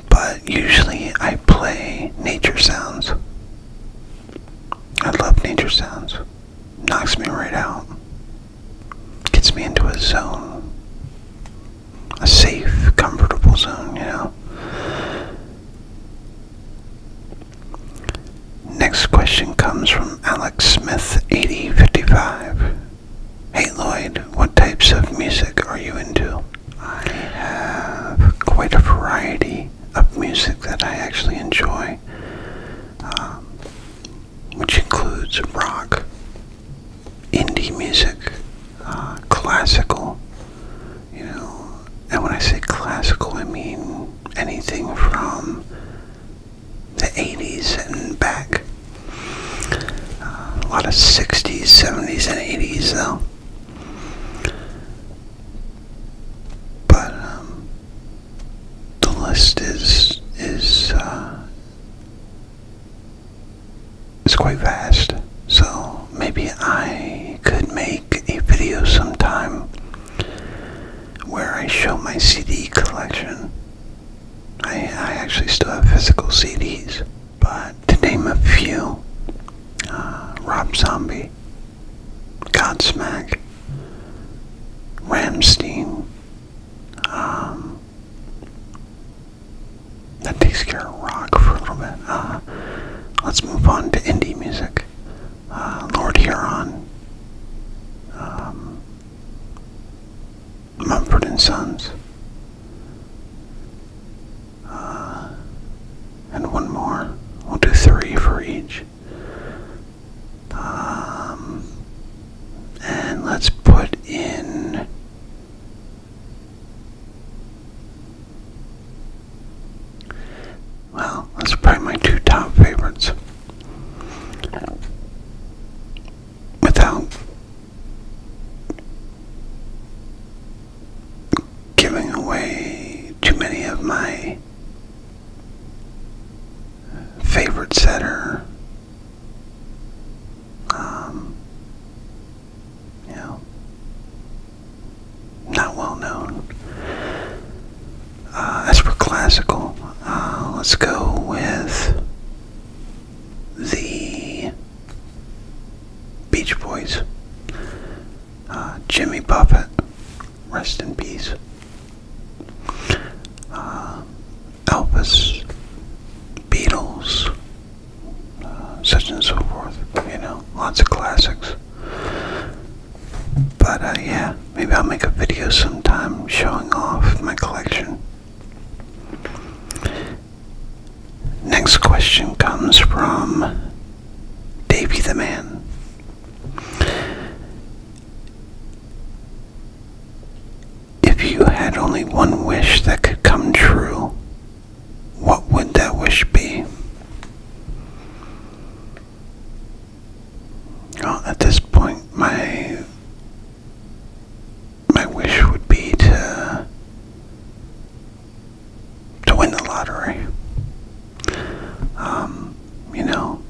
[SPEAKER 1] But usually I play nature sounds. I love nature sounds. Knocks me right out. Gets me into a zone. A safe, comfortable zone, you know. Next question comes from Alex Smith, 8055. Hey Lloyd, what types of music are you into? I have quite a variety of music that I actually enjoy, um, which includes rock, indie music, uh, classical, you know, and when I say classical, I mean anything from the 80s and back. Uh, a lot of 60s, 70s, and 80s, though. But um, the list is is uh, is quite vast, so maybe I could make a video sometime where I show my CD collection I, I actually still have physical CDs, but to name a few, uh, Rob Zombie, Godsmack, Ramstein, um, that takes care of rock for a little bit. Uh, let's move on to indie music. Uh, Lord Huron, um, Mumford and Sons. Uh, and one more. We'll do three for each. Um, and let's put in. Well, that's probably my two top favorites. Without giving away too many of my favorite setter. Um, you know, not well known. Uh, as for classical, uh, let's go with the Beach Boys, uh, Jimmy Buffett, rest in peace, uh, Elvis, Beatles, uh, such and so forth. You know, lots of classics. But yeah, maybe I'll make a video sometime showing off my collection. Next question comes from Davy the Man. If you had only one wish that could come true, what would that wish be? at this point, my my wish would be to to win the lottery. Um, you know,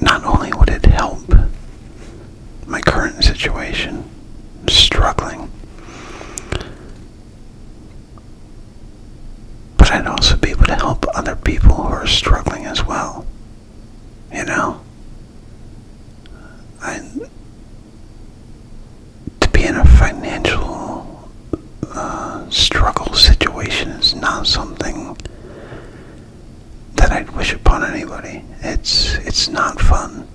[SPEAKER 1] not only would it help my current situation, struggling, but I'd also be able to help other people who are struggling as well. You know? I, to be in a financial uh, struggle situation is not something that I'd wish upon anybody. It's it's not fun.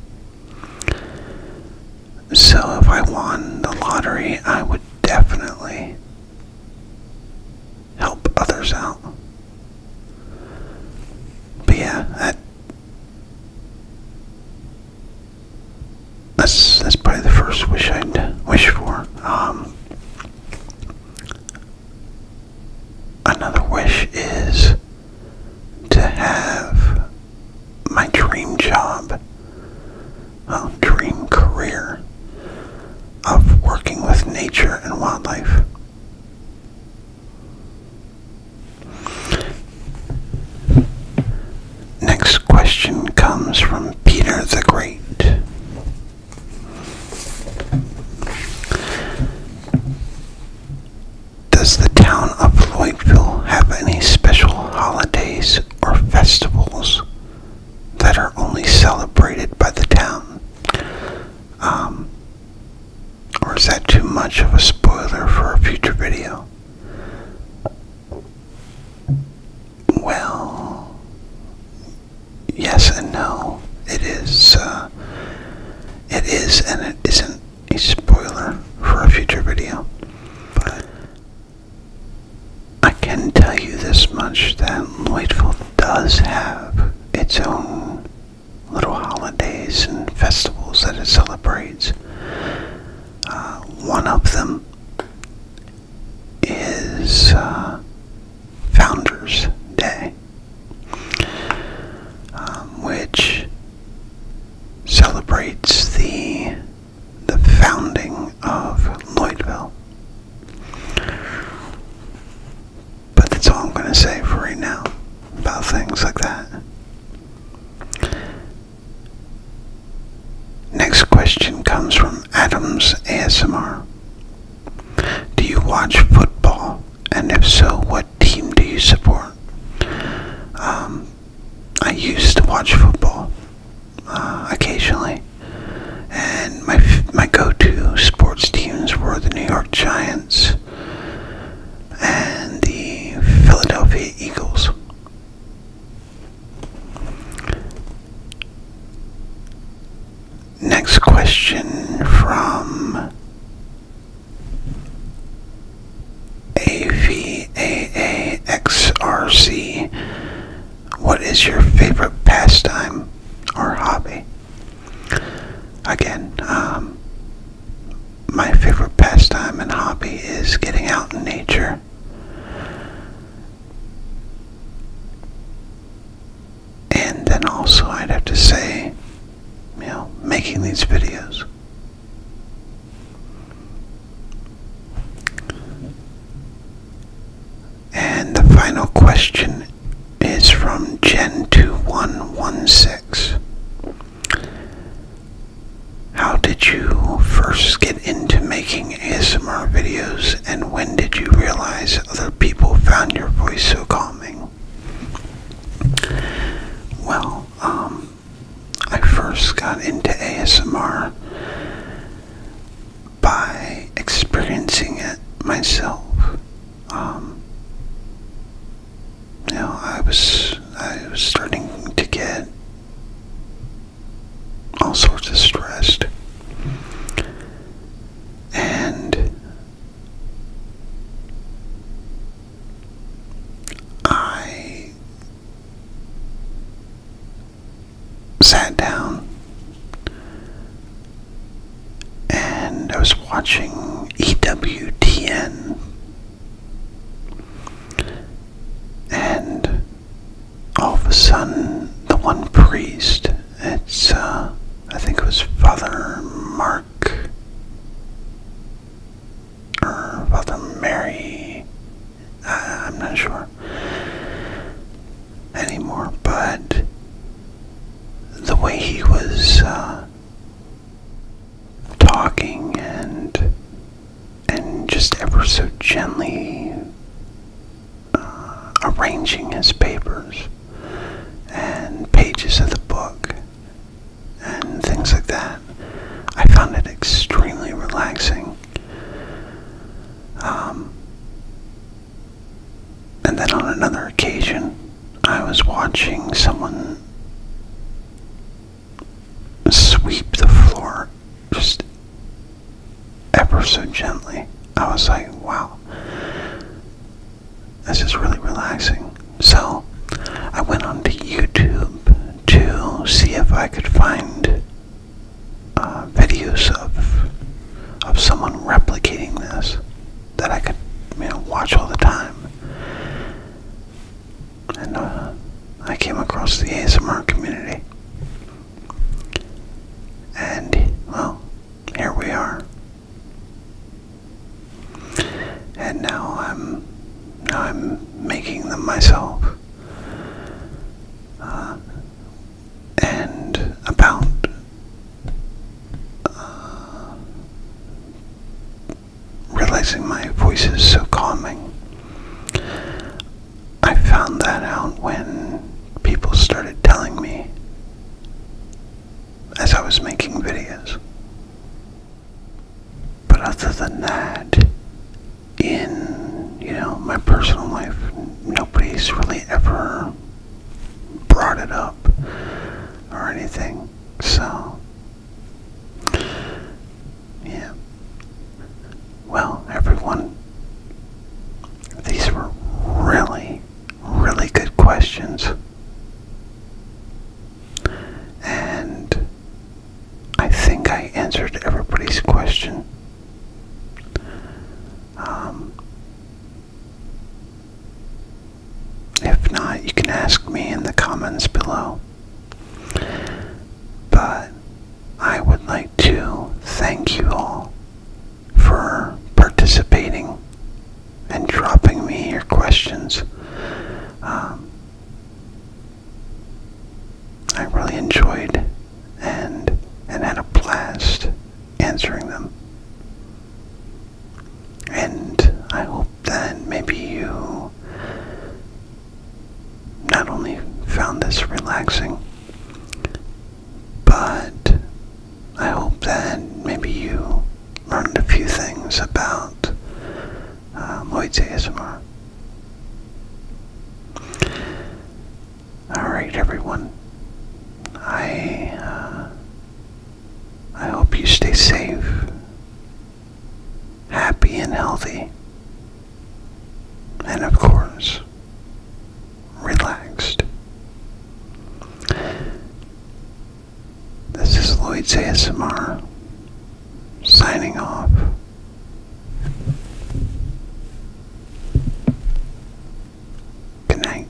[SPEAKER 1] So if I won the lottery, I would definitely help others out. But yeah, that, that's that's probably the first wish I'd wish for. Um, another wish is to have my dream job, well, uh, dream career of working with nature and wildlife. Next question comes from Peter the Great. Does the town of Lloydville have any special holidays or festivals that are only celebrated by the town? Um, or is that too much of a spoiler for a future video? Well, yes and no. It is, uh, it is and it isn't a spoiler for a future video. But I can tell you this much that Lightful does have its own little holidays and festivals that it celebrates. Uh, one of them is uh, Founders Day, um, which celebrates the the founding of Lloydville. But that's all I'm going to say for right now about things like that. Next question comes from Adams ASMR. Do you watch football? And if so, what team do you support? Um, I used to watch football uh, occasionally. And my my go-to sports teams were the New York Giants and the Philadelphia Eagles. Next question from AVAAXRC. What is your favorite pastime or hobby? Again, um, my favorite pastime and hobby is getting out in nature. And then also, I'd have to say, you know, making these videos. And the final question is from Gen Two 2116 How did you first get into making ASMR videos and when did you realize other people found your voice so calming? Well, um, I first got into ASMR by experiencing it myself. Um, I was I was starting to get all sorts of stressed, and I sat down and I was watching EWTN. And all of a sudden, the one priest, it's, uh, I think it was Father Mark, or Father Mary, I'm not sure anymore, but the way he was uh, talking and and just ever so gently uh, arranging his papers and pages of the book and things like that, I found it extremely relaxing. Um, and then on another occasion, I was watching someone sweep the floor just ever so gently. I was like, wow, this is really relaxing. So I went onto YouTube to see if I could find uh, videos of, of someone replicating this that I could, you know, watch all the time. And uh, I came across the ASMR community. And, well, here we are. And now I'm, I'm making them myself. Uh, and about um, realizing my voice is so calming. I found that out when people started telling me as I was making videos. But other than that, in, you know, my personal life, nobody's really ever brought it up or anything. So, yeah. Well, everyone, these were really, really good questions. And I think I answered everybody's question. Um, if not, you can ask me in the comments below. But I would like to thank you all for participating and dropping me your questions. Um, I really enjoyed and and had a blast answering them. And I hope that maybe you not only found this relaxing, but I hope that maybe you learned a few things about uh, um, Lloyd's ASMR. Alright, everyone. I uh, I hope you stay safe, happy and healthy, and of course, relaxed. This is Lloyd's ASMR, signing off. Good night.